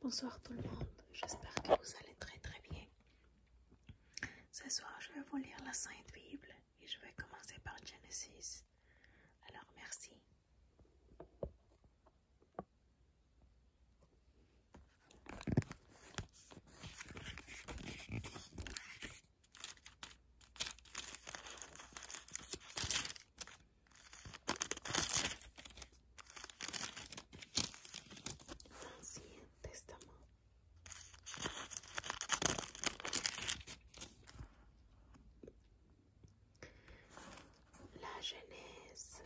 Bonsoir tout le monde, j'espère que vous allez très très bien. Ce soir, je vais vous lire la Sainte Bible et je vais commencer par Genesis. Alors, merci. L'Ancien Testament. La Genèse.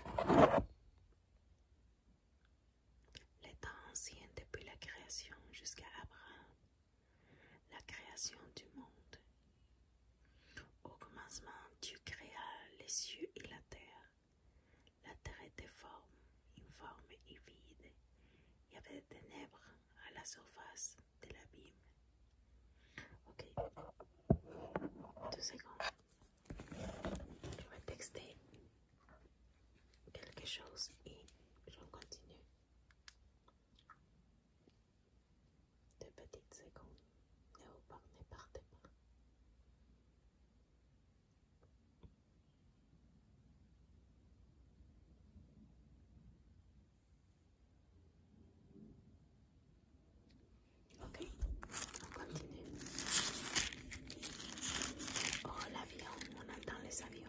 L'État temps anciens depuis la création jusqu'à Abraham. La création du monde. Au commencement, tu créas les cieux et la terre. La terre était forme, informe et vide. Il y avait des ténèbres à la surface de l'abîme. Ok. Deux secondes. Je vais quelque chose et je continue. De petites secondes, Ne ne parlez pas. Ok, on continue. Oh, l'avion, on attend les avions.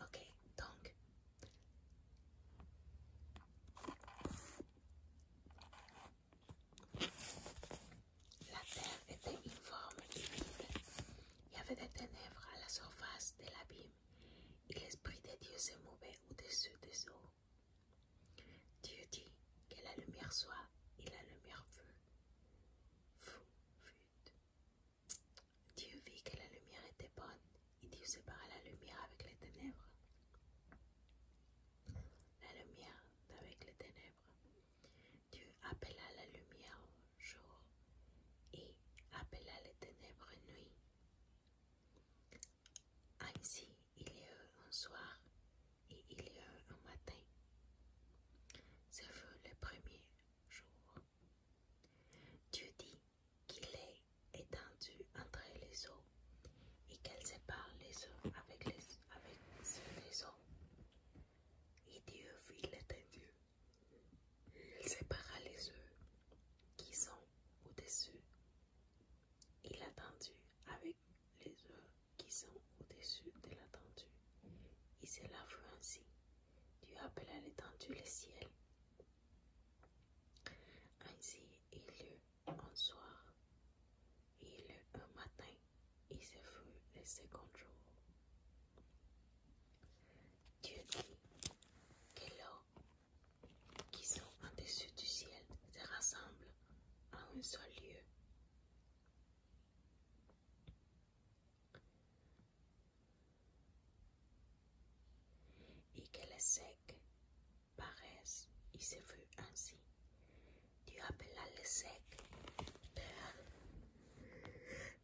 Ok, donc la terre était une forme divine. Il y avait des ténèbres à la surface de l'abîme et l'Esprit de Dieu se mouvait au-dessus des eaux. Dieu dit que la lumière soit et la lumière fut. Dieu vit que la lumière était bonne, et Dieu sépara la lumière avec les ténèbres. La lumière avec les ténèbres. Dieu appela la lumière jour et appela les ténèbres nuit. Ainsi, il y eut un soir et il y a un matin. Ce fut le premier jour. Dieu dit qu'il est étendu entre les eaux et qu'elle sépare les eaux avec, les, avec eaux. Et Dieu fit l'étendue. Il sépara les eaux qui sont au-dessus. Il a tendu avec les eaux qui sont au-dessus de l'étendue, et cela fut ainsi. Dieu à l'étendue le ciel. Ainsi il eut un soir, il eut un matin, et ce fut le second jour. Dieu dit que l'eau qui sont au dessus du ciel se rassemble à un seul lieu et que les secs paraissent, il se fut ainsi. Dieu appela les secs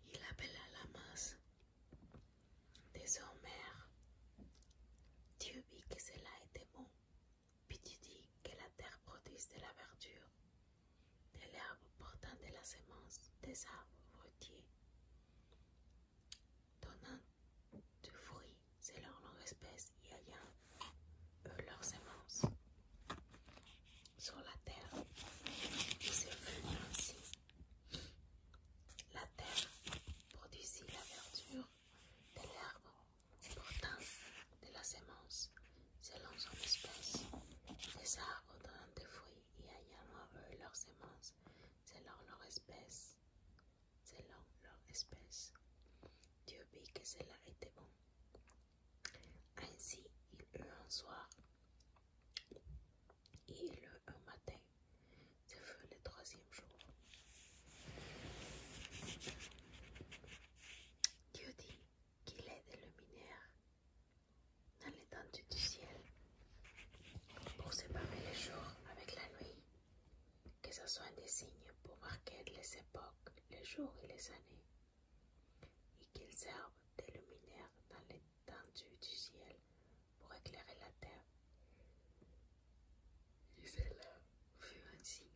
Il appela la masse Désormais, Dieu vit que cela était bon puis tu dis que la terre produise de la verdure, de l'herbe portant de la sémence des arbres fruitiers, donnant du fruit selon leur espèce et ayant eux leurs semences sur la terre. Il se fut ainsi. La terre produisit la verdure de l'herbe Pourtant, de la semence, selon son espèce, les arbres donnent des fruits et ayant à eux selon leur espèce, selon leur espèce. Dieu vit que cela était bon. Ainsi, il eut un soir, et il eut un matin, c'est le troisième jour. Dieu dit qu'il est des luminaires dans l'étendue du ciel pour séparer les jours avec la nuit, que ce soit des signes pour marquer les époques, les jours et les années, et qu'ils servent des luminaires dans l'étendue du ciel pour éclairer la terre les élèves ainsi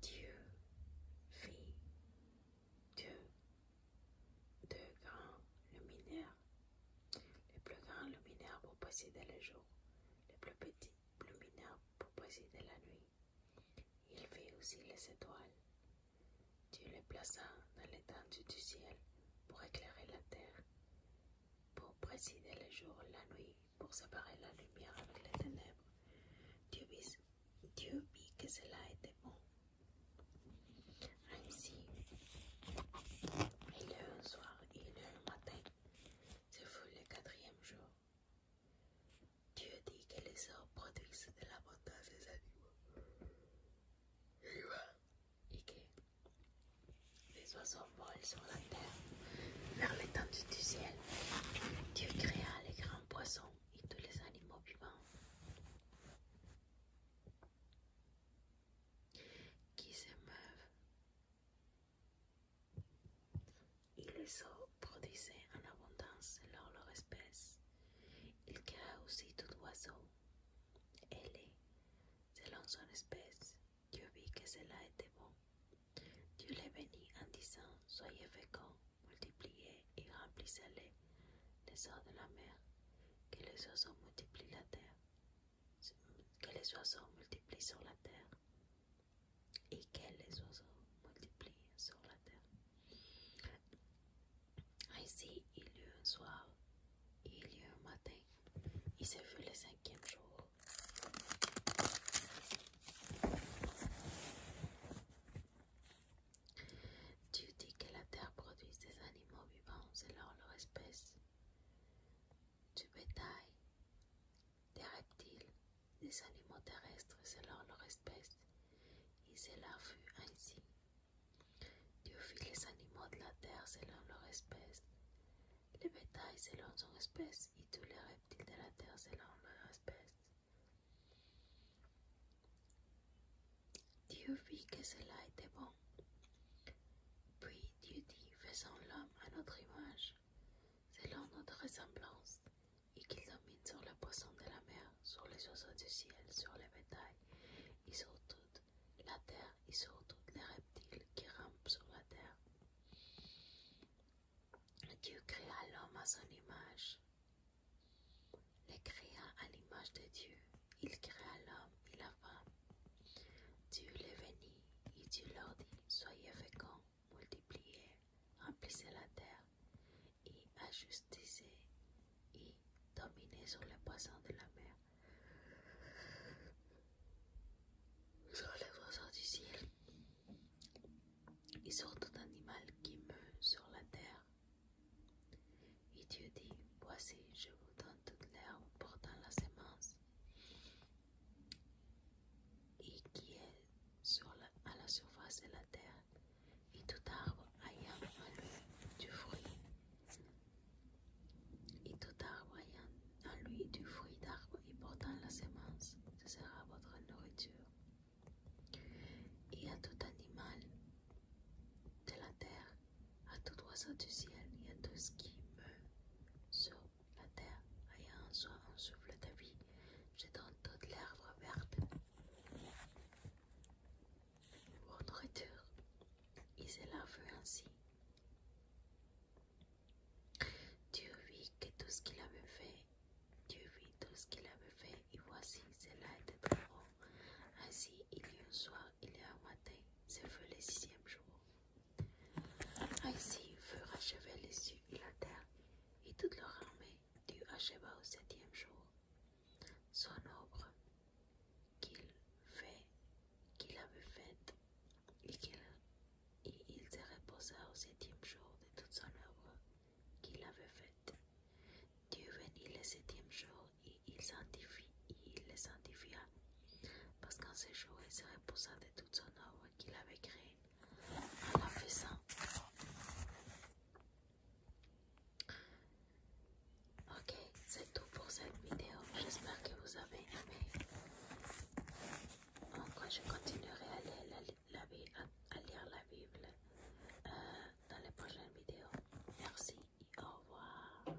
Dieu fit deux, deux grands luminaires, les plus grands luminaires pour posséder le jour, les plus petits luminaires pour posséder la nuit. Il fait aussi les étoiles, Dieu les plaça dans l'étendue du ciel pour éclairer la terre, pour précider le jour et la nuit, pour séparer la lumière avec les ténèbres. Dieu vit, que cela était bon. Ainsi, il un soir, et le matin. Ce fut le quatrième jour. Dieu dit que les hommes produisent de la l'abondance des animaux et que les oiseaux volent sur la terre vers l'étendue du ciel. Dieu créa les grands poissons et tous les animaux vivants qui se meuvent. Et les eaux produisaient en abondance leur leur espèce. Il créa aussi tout oiseau. Elle, selon son espèce, Dieu vit que cela était bon. Dieu les bénit en disant Soyez féconds, multipliez et remplissez-les, les oiseaux de la mer, que les oiseaux multiplient que les oiseaux multiplient sur la terre, et que les oiseaux multiplient sur la terre. Ainsi, il y eut un soir, il y eut un matin, et ce fut le cinquième jour. Dieu dit que la terre produit des animaux vivants selon leur espèce, du bétail, des reptiles, des animaux terrestres selon leur espèce, et cela fut ainsi. Dieu fit les animaux de la terre selon leur espèce, les bétails selon son espèce, et tous les reptiles de la terre selon leur espèce. Dieu vit que cela était bon. Puis Dieu dit, faisons l'homme à notre image, selon notre ressemblance, et qu'ils dominent sur les poisson de la mer, sur les oiseaux du ciel, sur les bétails, et sur toute la terre, et sur toutes les reptiles qui rampent sur la terre. Dieu créa l'homme à son image. Les créa à l'image de Dieu. Il créa l'homme et la femme. Dieu les bénit et Dieu leur dit, soyez féconds, multipliez, remplissez la terre et ajustissez et dominez sur les poissons de la mer, sur les poissons du ciel et sur tout animal qui meut sur la terre. Et Dieu dit, voici, je vous donne toute l'herbe portant la semence et qui est à la surface de la terre, et tout arbre ayant en lui du fruit, et tout arbre ayant en lui du fruit d'arbre et portant la semence, ce sera votre nourriture. Et à tout animal de la terre, à tout oiseau du ciel, et à tout ce qui meurt sur la terre ayant en soi un souffle de vie, dans toute l'herbe verte pour nourriture, et cela fut ainsi. Dieu vit que tout ce qu'il avait fait, Dieu vit tout ce qu'il avait fait, et voici, cela était trop Ainsi, il y a un soir, il y a un matin, ce fut le sixième jour. Ainsi furent achevés les cieux et la terre, et toute leur armée Dieu acheva au septième jour. Son œuvre qu'il avait faite, et il se reposa au septième jour de toute son œuvre qu'il avait faite. Dieu venit le septième jour et il les le sanctifia, parce qu'en ce jour il se reposa de toute son œuvre qu'il avait créé en a fait Ok, c'est tout pour cette vidéo. J'espère que vous avez aimé. quoi je continuerai à lire la, à, lire la Bible euh, dans les prochaines vidéos. Merci et au revoir.